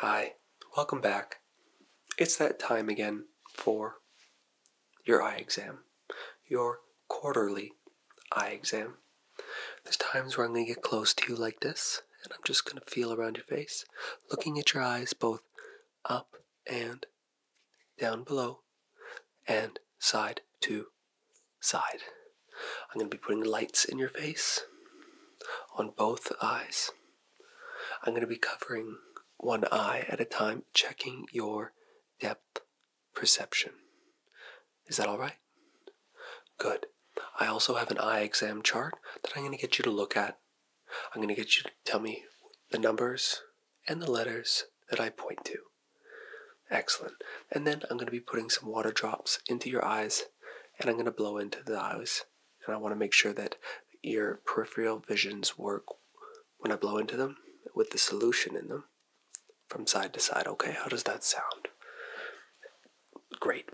Hi, welcome back. It's that time again for your eye exam, your quarterly eye exam. There's times where I'm going to get close to you like this, and I'm just going to feel around your face, looking at your eyes both up and down below and side to side. I'm going to be putting lights in your face on both eyes. I'm going to be covering one eye at a time, checking your depth perception. Is that all right? Good. I also have an eye exam chart that I'm going to get you to look at. I'm going to get you to tell me the numbers and the letters that I point to. Excellent. And then I'm going to be putting some water drops into your eyes and I'm going to blow into the eyes and I want to make sure that your peripheral visions work when I blow into them with the solution in them from side to side. Okay, how does that sound? Great.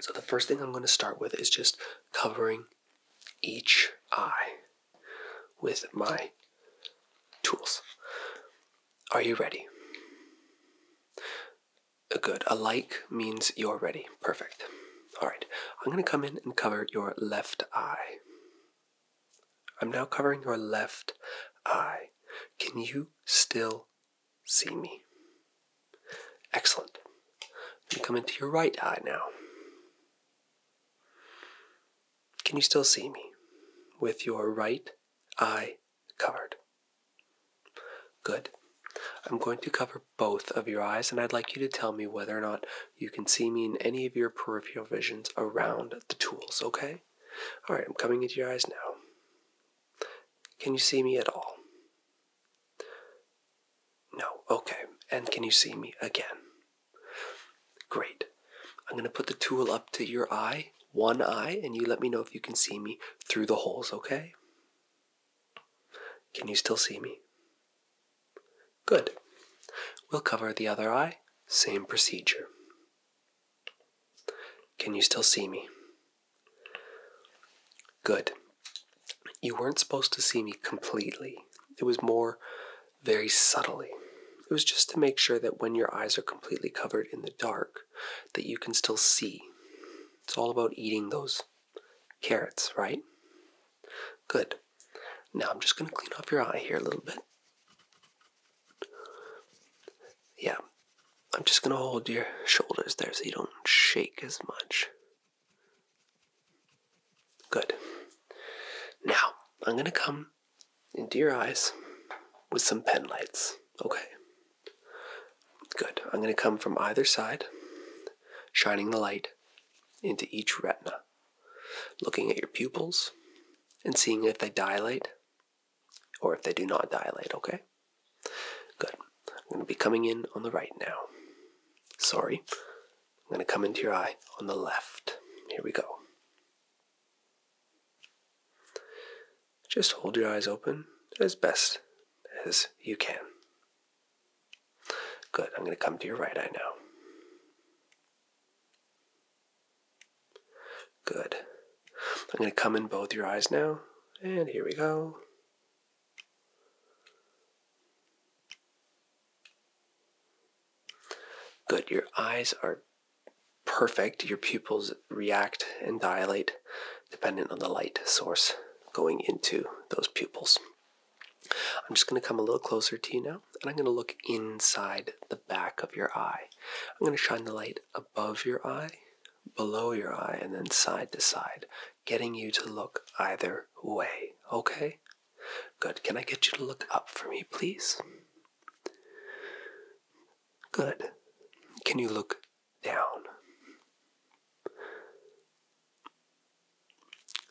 So the first thing I'm going to start with is just covering each eye with my tools. Are you ready? A Good. A like means you're ready. Perfect. All right. I'm going to come in and cover your left eye. I'm now covering your left eye. Can you still see me? Excellent. come into your right eye now. Can you still see me with your right eye covered? Good. I'm going to cover both of your eyes, and I'd like you to tell me whether or not you can see me in any of your peripheral visions around the tools, okay? All right, I'm coming into your eyes now. Can you see me at all? No, okay. And can you see me again? Great. I'm going to put the tool up to your eye, one eye, and you let me know if you can see me through the holes, okay? Can you still see me? Good. We'll cover the other eye, same procedure. Can you still see me? Good. You weren't supposed to see me completely. It was more very subtly. It was just to make sure that when your eyes are completely covered in the dark, that you can still see. It's all about eating those Carrots, right? Good. Now I'm just going to clean off your eye here a little bit. Yeah. I'm just going to hold your shoulders there so you don't shake as much. Good. Now, I'm going to come into your eyes with some pen lights, okay? Good. I'm going to come from either side, shining the light into each retina, looking at your pupils and seeing if they dilate or if they do not dilate, okay? Good. I'm going to be coming in on the right now. Sorry. I'm going to come into your eye on the left. Here we go. Just hold your eyes open as best as you can. Good, I'm going to come to your right eye now. Good. I'm going to come in both your eyes now. And here we go. Good. Your eyes are perfect. Your pupils react and dilate dependent on the light source going into those pupils. I'm just going to come a little closer to you now, and I'm going to look inside the back of your eye. I'm going to shine the light above your eye, below your eye, and then side to side, getting you to look either way. Okay? Good. Can I get you to look up for me, please? Good. Can you look down.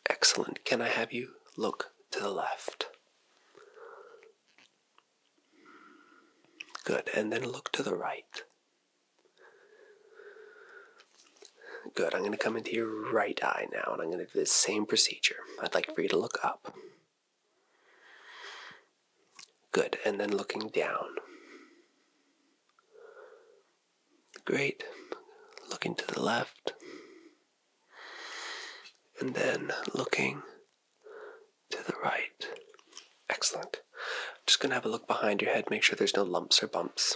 Excellent. Can I have you look to the left? Good. And then look to the right. Good. I'm going to come into your right eye now and I'm going to do the same procedure. I'd like for you to look up. Good, and then looking down. Great. Looking to the left. And then looking to the right. Excellent. just going to have a look behind your head, make sure there's no lumps or bumps.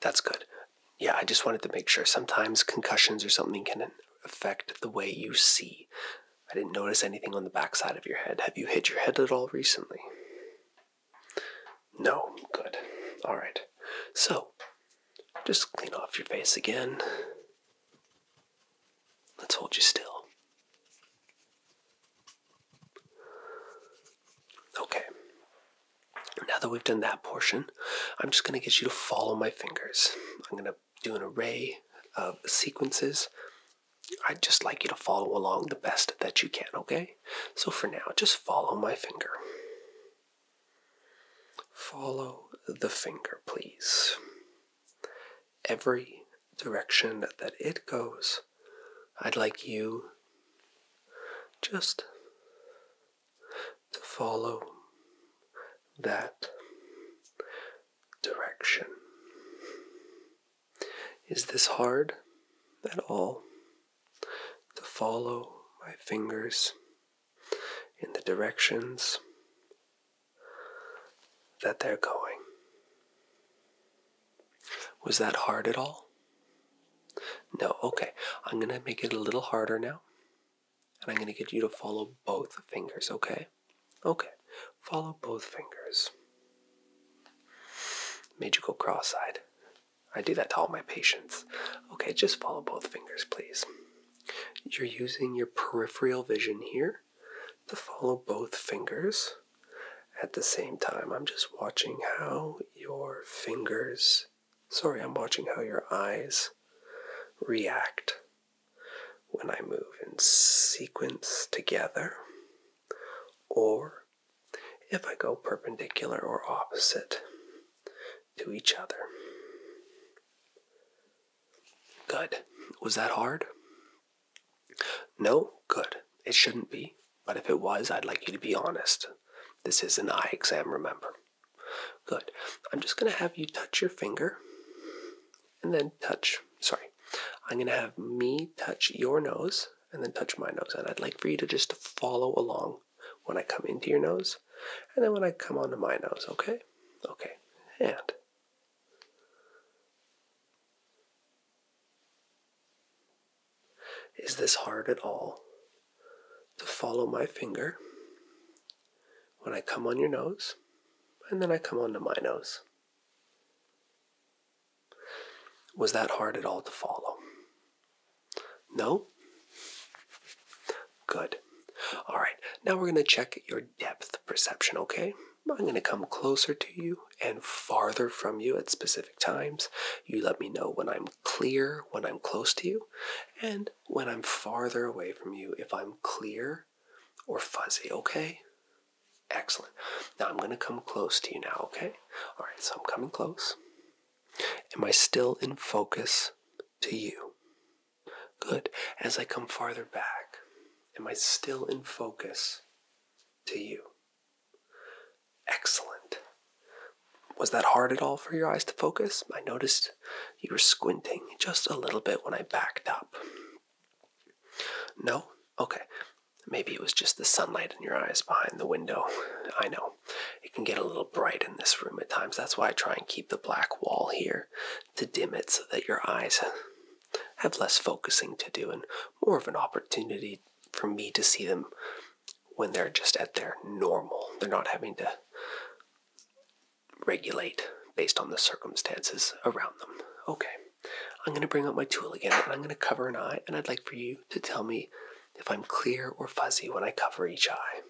That's good. Yeah, I just wanted to make sure. Sometimes concussions or something can affect the way you see. I didn't notice anything on the backside of your head. Have you hit your head at all recently? No. Good. All right. So, just clean off your face again. Let's hold you still. Okay. Now that we've done that portion, I'm just going to get you to follow my fingers. I'm going to do an array of sequences. I'd just like you to follow along the best that you can, okay? So for now, just follow my finger. Follow the finger, please. Every direction that it goes, I'd like you just to follow that direction. Is this hard at all to follow my fingers in the directions that they're going? Was that hard at all? No, okay. I'm going to make it a little harder now. And I'm going to get you to follow both fingers, okay? Okay. Follow both fingers. Made you go cross eyed. I do that to all my patients. Okay, just follow both fingers, please. You're using your peripheral vision here to follow both fingers at the same time. I'm just watching how your fingers, sorry, I'm watching how your eyes react when I move in sequence together, or if I go perpendicular or opposite to each other. Good. Was that hard? No? Good. It shouldn't be, but if it was, I'd like you to be honest. This is an eye exam, remember. Good. I'm just going to have you touch your finger and then touch. Sorry. I'm going to have me touch your nose and then touch my nose. And I'd like for you to just follow along when I come into your nose and then when I come onto my nose, okay? Okay. And. Is this hard at all to follow my finger when I come on your nose, and then I come onto my nose. Was that hard at all to follow? No? Good. All right, now we're going to check your depth perception, okay? I'm going to come closer to you and farther from you at specific times. You let me know when I'm clear, when I'm close to you, and when I'm farther away from you, if I'm clear or fuzzy, okay? Excellent. Now I'm going to come close to you now, okay? All right, so I'm coming close. Am I still in focus to you? Good. As I come farther back, am I still in focus to you? Excellent. Was that hard at all for your eyes to focus? I noticed you were squinting just a little bit when I backed up. No? Okay. Maybe it was just the sunlight in your eyes behind the window. I know. It can get a little bright in this room at times. That's why I try and keep the black wall here to dim it so that your eyes have less focusing to do and more of an opportunity for me to see them when they're just at their normal. They're not having to regulate based on the circumstances around them. Okay, I'm going to bring up my tool again and I'm going to cover an eye, and I'd like for you to tell me if I'm clear or fuzzy when I cover each eye.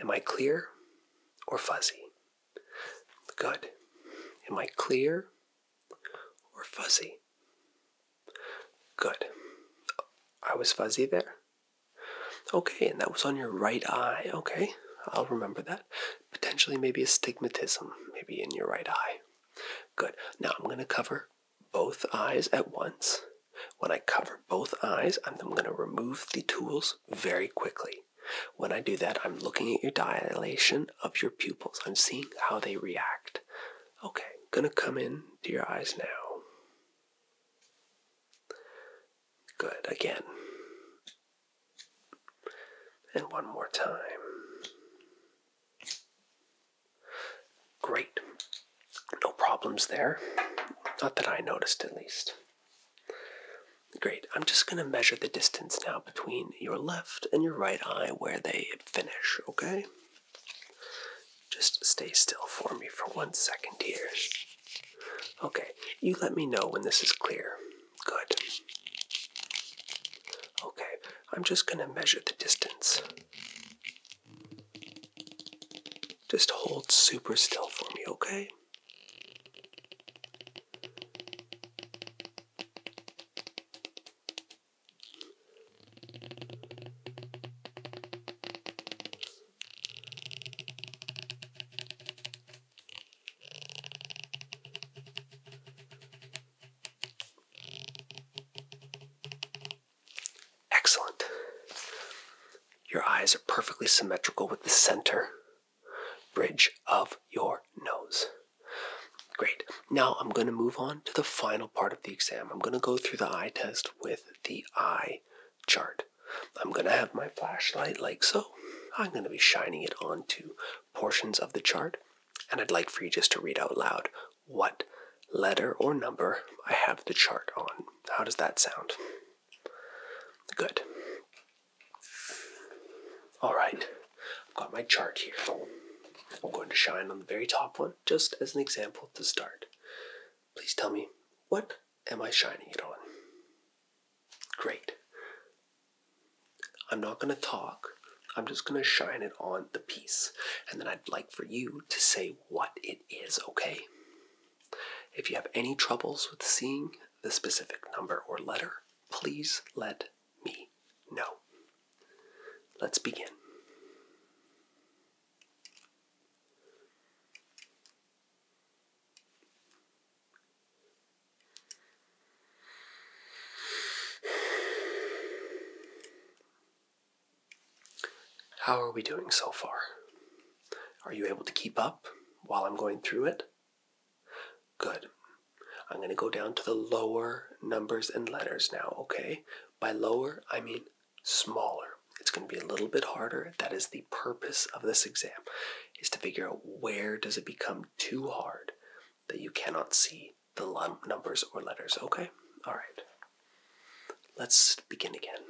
Am I clear or fuzzy? Good. Am I clear or fuzzy? Good. I was fuzzy there. Okay, and that was on your right eye. Okay, I'll remember that. Potentially, maybe astigmatism, maybe in your right eye. Good. Now I'm going to cover both eyes at once. When I cover both eyes, I'm going to remove the tools very quickly. When I do that, I'm looking at your dilation of your pupils. I'm seeing how they react. Okay, gonna come in to your eyes now. Good, again. And one more time. Great. No problems there. Not that I noticed, at least. Great. I'm just going to measure the distance now between your left and your right eye where they finish, okay? Just stay still for me for one second here. Okay, you let me know when this is clear. Good. Okay, I'm just going to measure the distance. Just hold super still for me, okay? Excellent. Your eyes are perfectly symmetrical with the center bridge of your nose. Great. Now I'm going to move on to the final part of the exam. I'm going to go through the eye test with the eye chart. I'm going to have my flashlight like so. I'm going to be shining it onto portions of the chart, and I'd like for you just to read out loud what letter or number I have the chart on. How does that sound? Good. All right, I've got my chart here. I'm going to shine on the very top one, just as an example to start. Please tell me, what am I shining it on? Great. I'm not going to talk. I'm just going to shine it on the piece. And then I'd like for you to say what it is, okay? If you have any troubles with seeing the specific number or letter, please let me know. Let's begin. How are we doing so far? Are you able to keep up while I'm going through it? Good. I'm going to go down to the lower numbers and letters now, okay? By lower, I mean smaller. It's going to be a little bit harder that is the purpose of this exam, is to figure out where does it become too hard that you cannot see the numbers or letters, okay? All right. Let's begin again.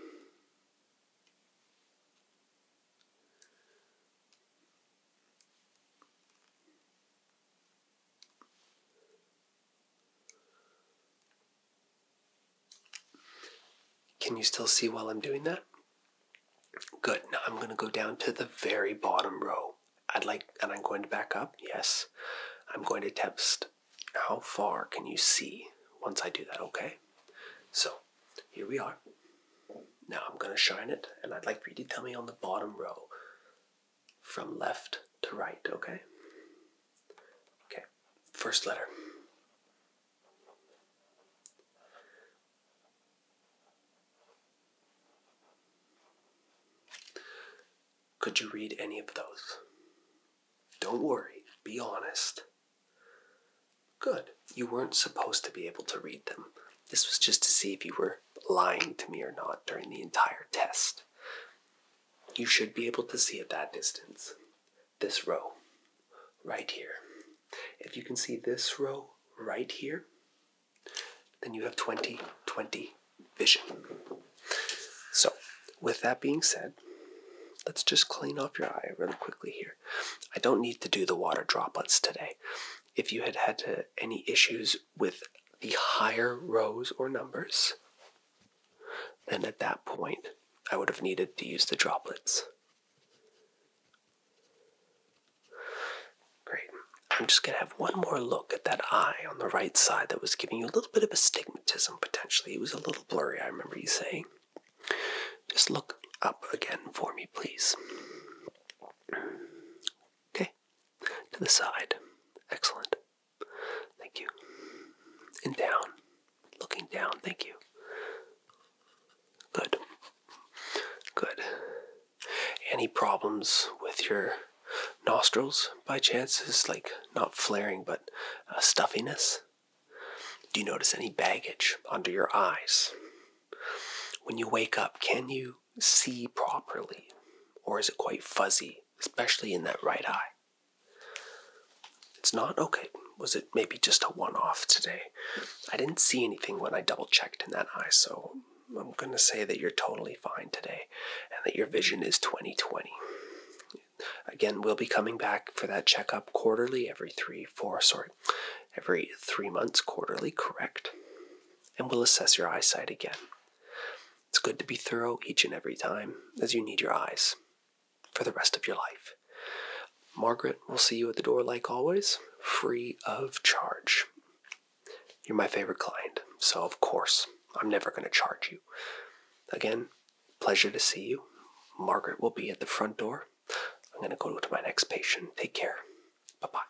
Can you still see while I'm doing that? Good. Now I'm going to go down to the very bottom row. I'd like, and I'm going to back up. Yes. I'm going to test how far can you see once I do that, okay? So here we are. Now I'm going to shine it, and I'd like for you to tell me on the bottom row from left to right, okay? Okay, first letter. Could you read any of those? Don't worry, be honest. Good. You weren't supposed to be able to read them. This was just to see if you were lying to me or not during the entire test. You should be able to see at that distance this row right here. If you can see this row right here, then you have 20 20 vision. So, with that being said, let's just clean off your eye really quickly here. I don't need to do the water droplets today. If you had had any issues with the higher rows or numbers, then at that point, I would have needed to use the droplets. Great. I'm just going to have one more look at that eye on the right side that was giving you a little bit of astigmatism potentially. It was a little blurry, I remember you saying. Just look up again for me, please. Okay. To the side. Excellent. Thank you. And down. Looking down. Thank you. Good. Good. Any problems with your nostrils by chance? Is like not flaring but uh, stuffiness? Do you notice any baggage under your eyes? When you wake up, can you see properly? Or is it quite fuzzy, especially in that right eye? It's not? Okay. Was it maybe just a one off today? I didn't see anything when I double checked in that eye, so I'm going to say that you're totally fine today and that your vision is 20 20. Again, we'll be coming back for that checkup quarterly, every three, four, sorry, every three months quarterly, correct? And we'll assess your eyesight again. It's good to be thorough each and every time, as you need your eyes for the rest of your life. Margaret will see you at the door like always, free of charge. You're my favorite client, so of course, I'm never going to charge you. Again, pleasure to see you. Margaret will be at the front door. I'm going to go to my next patient. Take care. Bye bye.